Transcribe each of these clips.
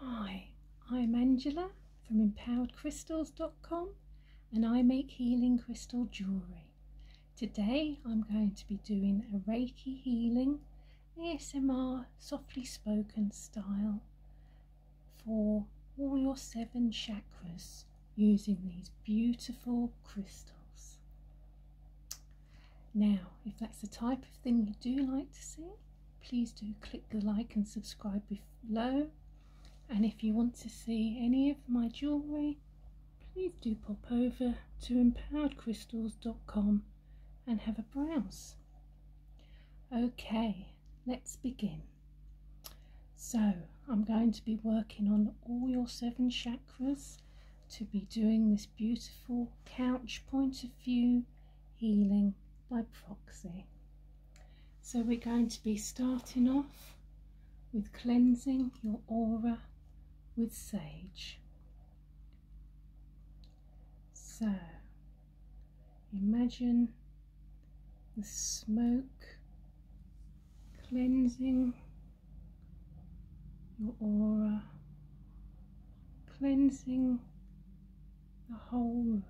Hi, I'm Angela from empoweredcrystals.com and I make healing crystal jewellery. Today I'm going to be doing a Reiki healing ASMR softly spoken style for all your seven chakras using these beautiful crystals. Now, if that's the type of thing you do like to see, please do click the like and subscribe below. And if you want to see any of my jewellery, please do pop over to empoweredcrystals.com and have a browse. Okay, let's begin. So, I'm going to be working on all your seven chakras to be doing this beautiful couch point of view healing by proxy. So we're going to be starting off with cleansing your aura with sage. So imagine the smoke cleansing your aura cleansing the whole room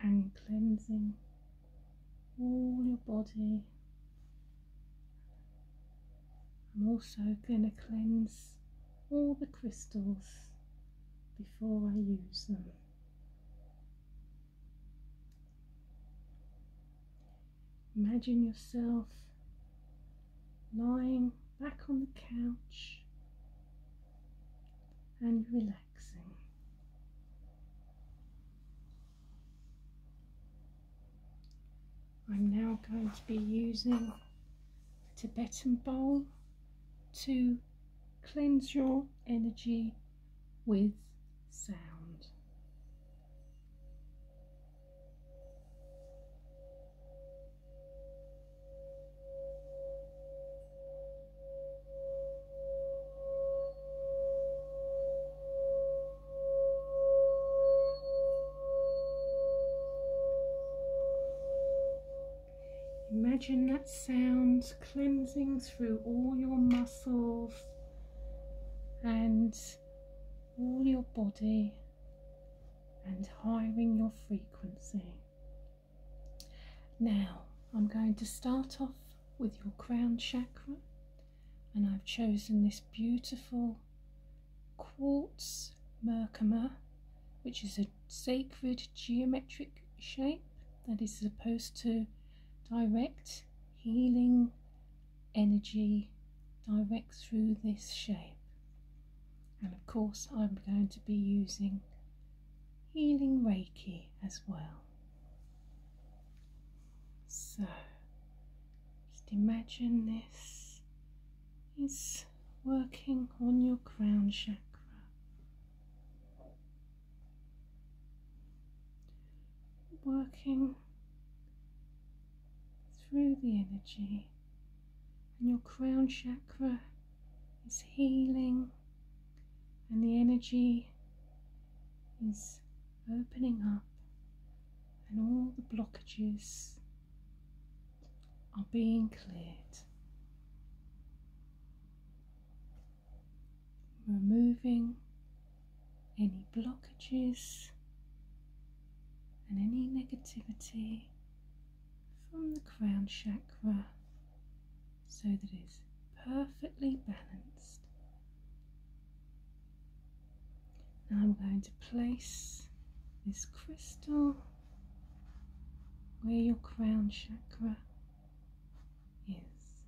and cleansing all your body. I'm also going to cleanse all the crystals before I use them. Imagine yourself lying back on the couch and relaxing. I'm now going to be using a Tibetan bowl to cleanse your energy with sound. Imagine that sound cleansing through all your muscles and all your body and hiring your frequency. Now, I'm going to start off with your crown chakra, and I've chosen this beautiful quartz merkama, which is a sacred geometric shape that is supposed to direct healing energy direct through this shape. And of course, I'm going to be using healing Reiki as well. So, just imagine this is working on your crown chakra. Working through the energy, and your crown chakra is healing, and the energy is opening up, and all the blockages are being cleared. Removing any blockages and any negativity from the crown chakra so that it's perfectly balanced. Now I'm going to place this crystal where your crown chakra is.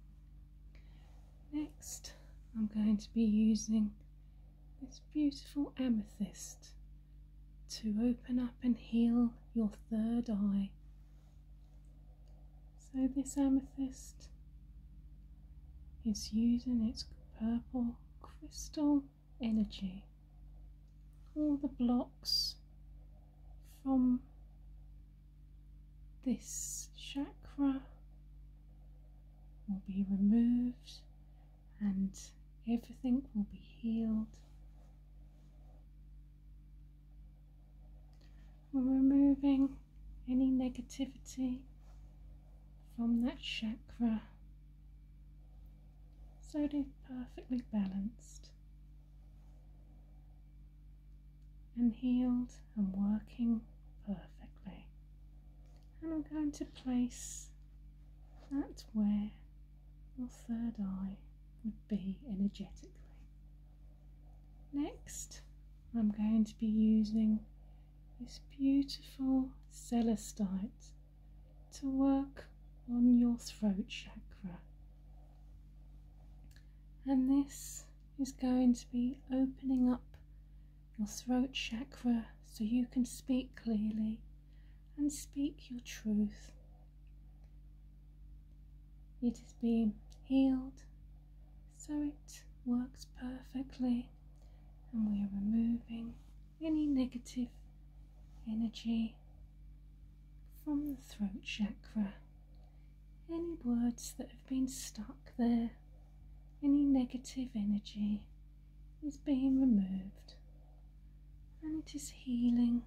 Next, I'm going to be using this beautiful amethyst to open up and heal your third eye. So, this amethyst is using its purple crystal energy, all the blocks from this chakra will be removed and everything will be healed. We're removing any negativity from that chakra so it is perfectly balanced and healed and working perfectly. And I'm going to place that where your third eye would be energetically. Next, I'm going to be using this beautiful celestite to work on your throat chakra. And this is going to be opening up your throat chakra so you can speak clearly and speak your truth. It is being healed so it works perfectly, and we are removing any negative energy from the throat chakra any words that have been stuck there, any negative energy is being removed and it is healing.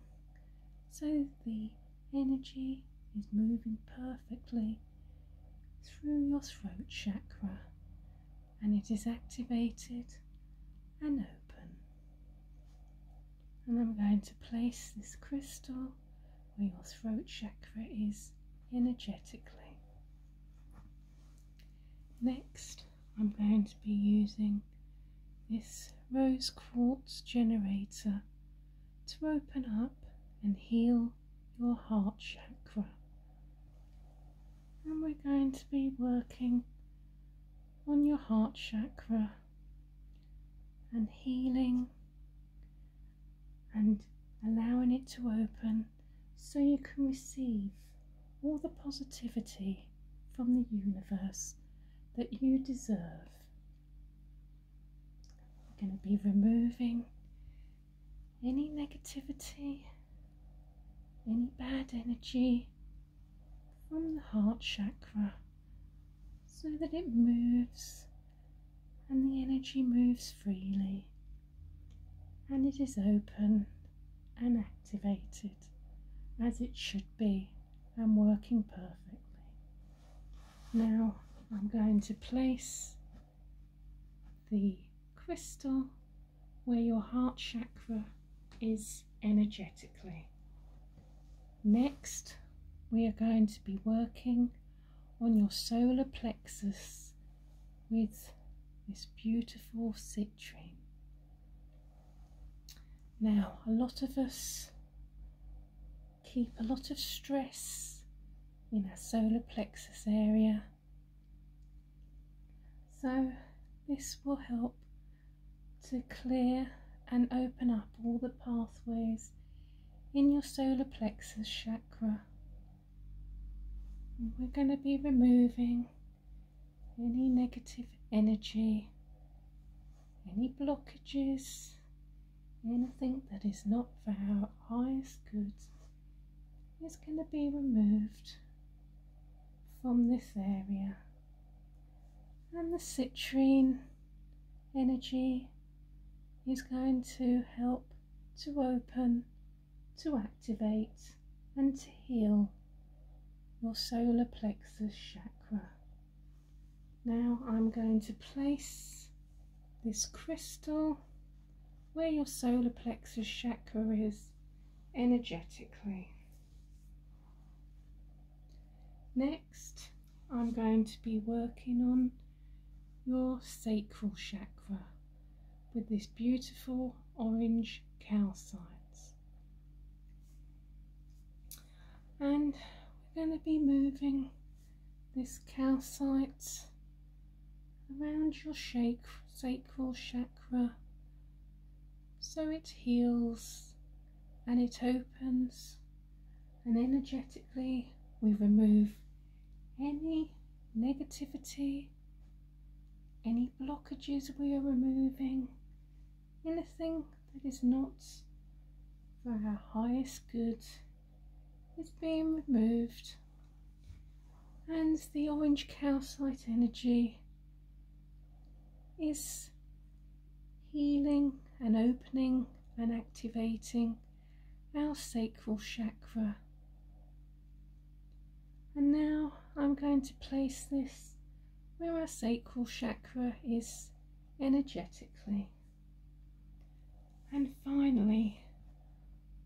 So the energy is moving perfectly through your throat chakra and it is activated and open. And I'm going to place this crystal where your throat chakra is energetically. Next, I'm going to be using this rose quartz generator to open up and heal your heart chakra. And we're going to be working on your heart chakra and healing and allowing it to open so you can receive all the positivity from the universe that you deserve. I'm going to be removing any negativity, any bad energy from the heart chakra so that it moves and the energy moves freely and it is open and activated as it should be and working perfectly. Now I'm going to place the crystal where your heart chakra is energetically. Next we are going to be working on your solar plexus with this beautiful citrine. Now, a lot of us keep a lot of stress in our solar plexus area. So, this will help to clear and open up all the pathways in your solar plexus chakra. we're going to be removing any negative energy, any blockages, anything that is not for our highest good is going to be removed from this area. And the citrine energy is going to help to open, to activate, and to heal your solar plexus chakra. Now I'm going to place this crystal where your solar plexus chakra is energetically. Next, I'm going to be working on your sacral chakra with this beautiful orange calcite, And we're going to be moving this calcite around your sacral chakra so it heals and it opens and energetically we remove any negativity, any blockages we are removing, anything that is not for our highest good is being removed. And the orange calcite energy is healing and opening and activating our sacral chakra. And now I'm going to place this where our sacral chakra is energetically. And finally,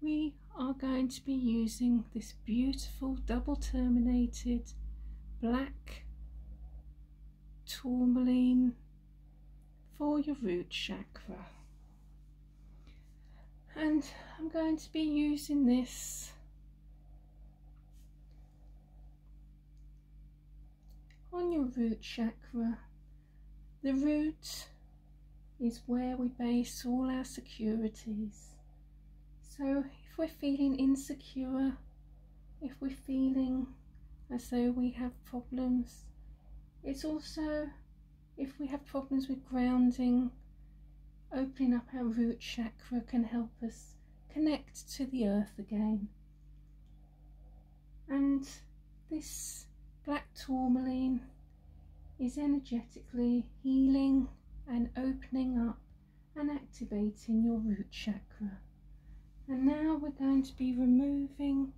we are going to be using this beautiful double terminated black tourmaline for your root chakra. And I'm going to be using this on your root chakra. The root is where we base all our securities. So if we're feeling insecure if we're feeling as though we have problems. It's also if we have problems with grounding, opening up our root chakra can help us connect to the earth again. And this black tourmaline is energetically healing and opening up and activating your root chakra. And now we're going to be removing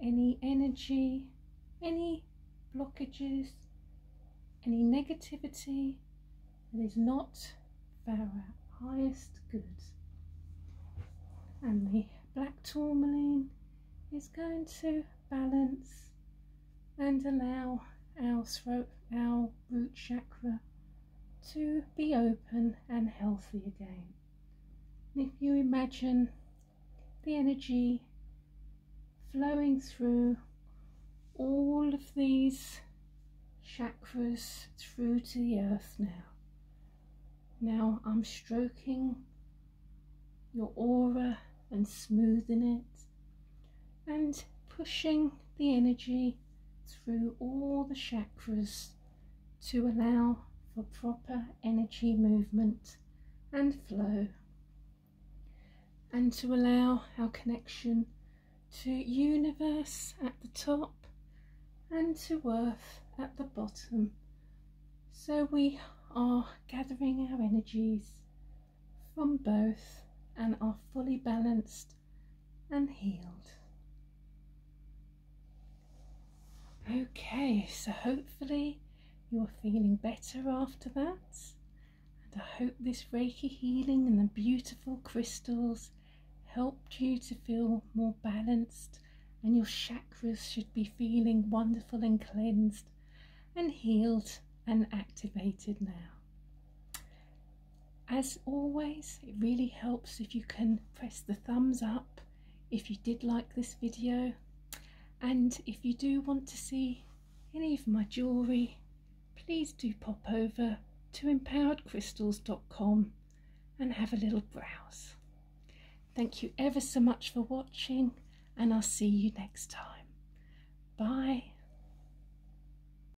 any energy, any blockages, any negativity that is not for our highest good. And the black tourmaline is going to balance and allow our throat, our root chakra to be open and healthy again. if you imagine the energy flowing through all of these chakras through to the earth now. Now I'm stroking your aura and smoothing it and pushing the energy through all the chakras to allow for proper energy movement and flow and to allow our connection to universe at the top and to earth at the bottom so we are gathering our energies from both and are fully balanced and healed. Okay, so hopefully you're feeling better after that. And I hope this Reiki healing and the beautiful crystals helped you to feel more balanced and your chakras should be feeling wonderful and cleansed and healed and activated now. As always, it really helps if you can press the thumbs up if you did like this video. And if you do want to see any of my jewellery, please do pop over to empoweredcrystals.com and have a little browse. Thank you ever so much for watching and I'll see you next time. Bye.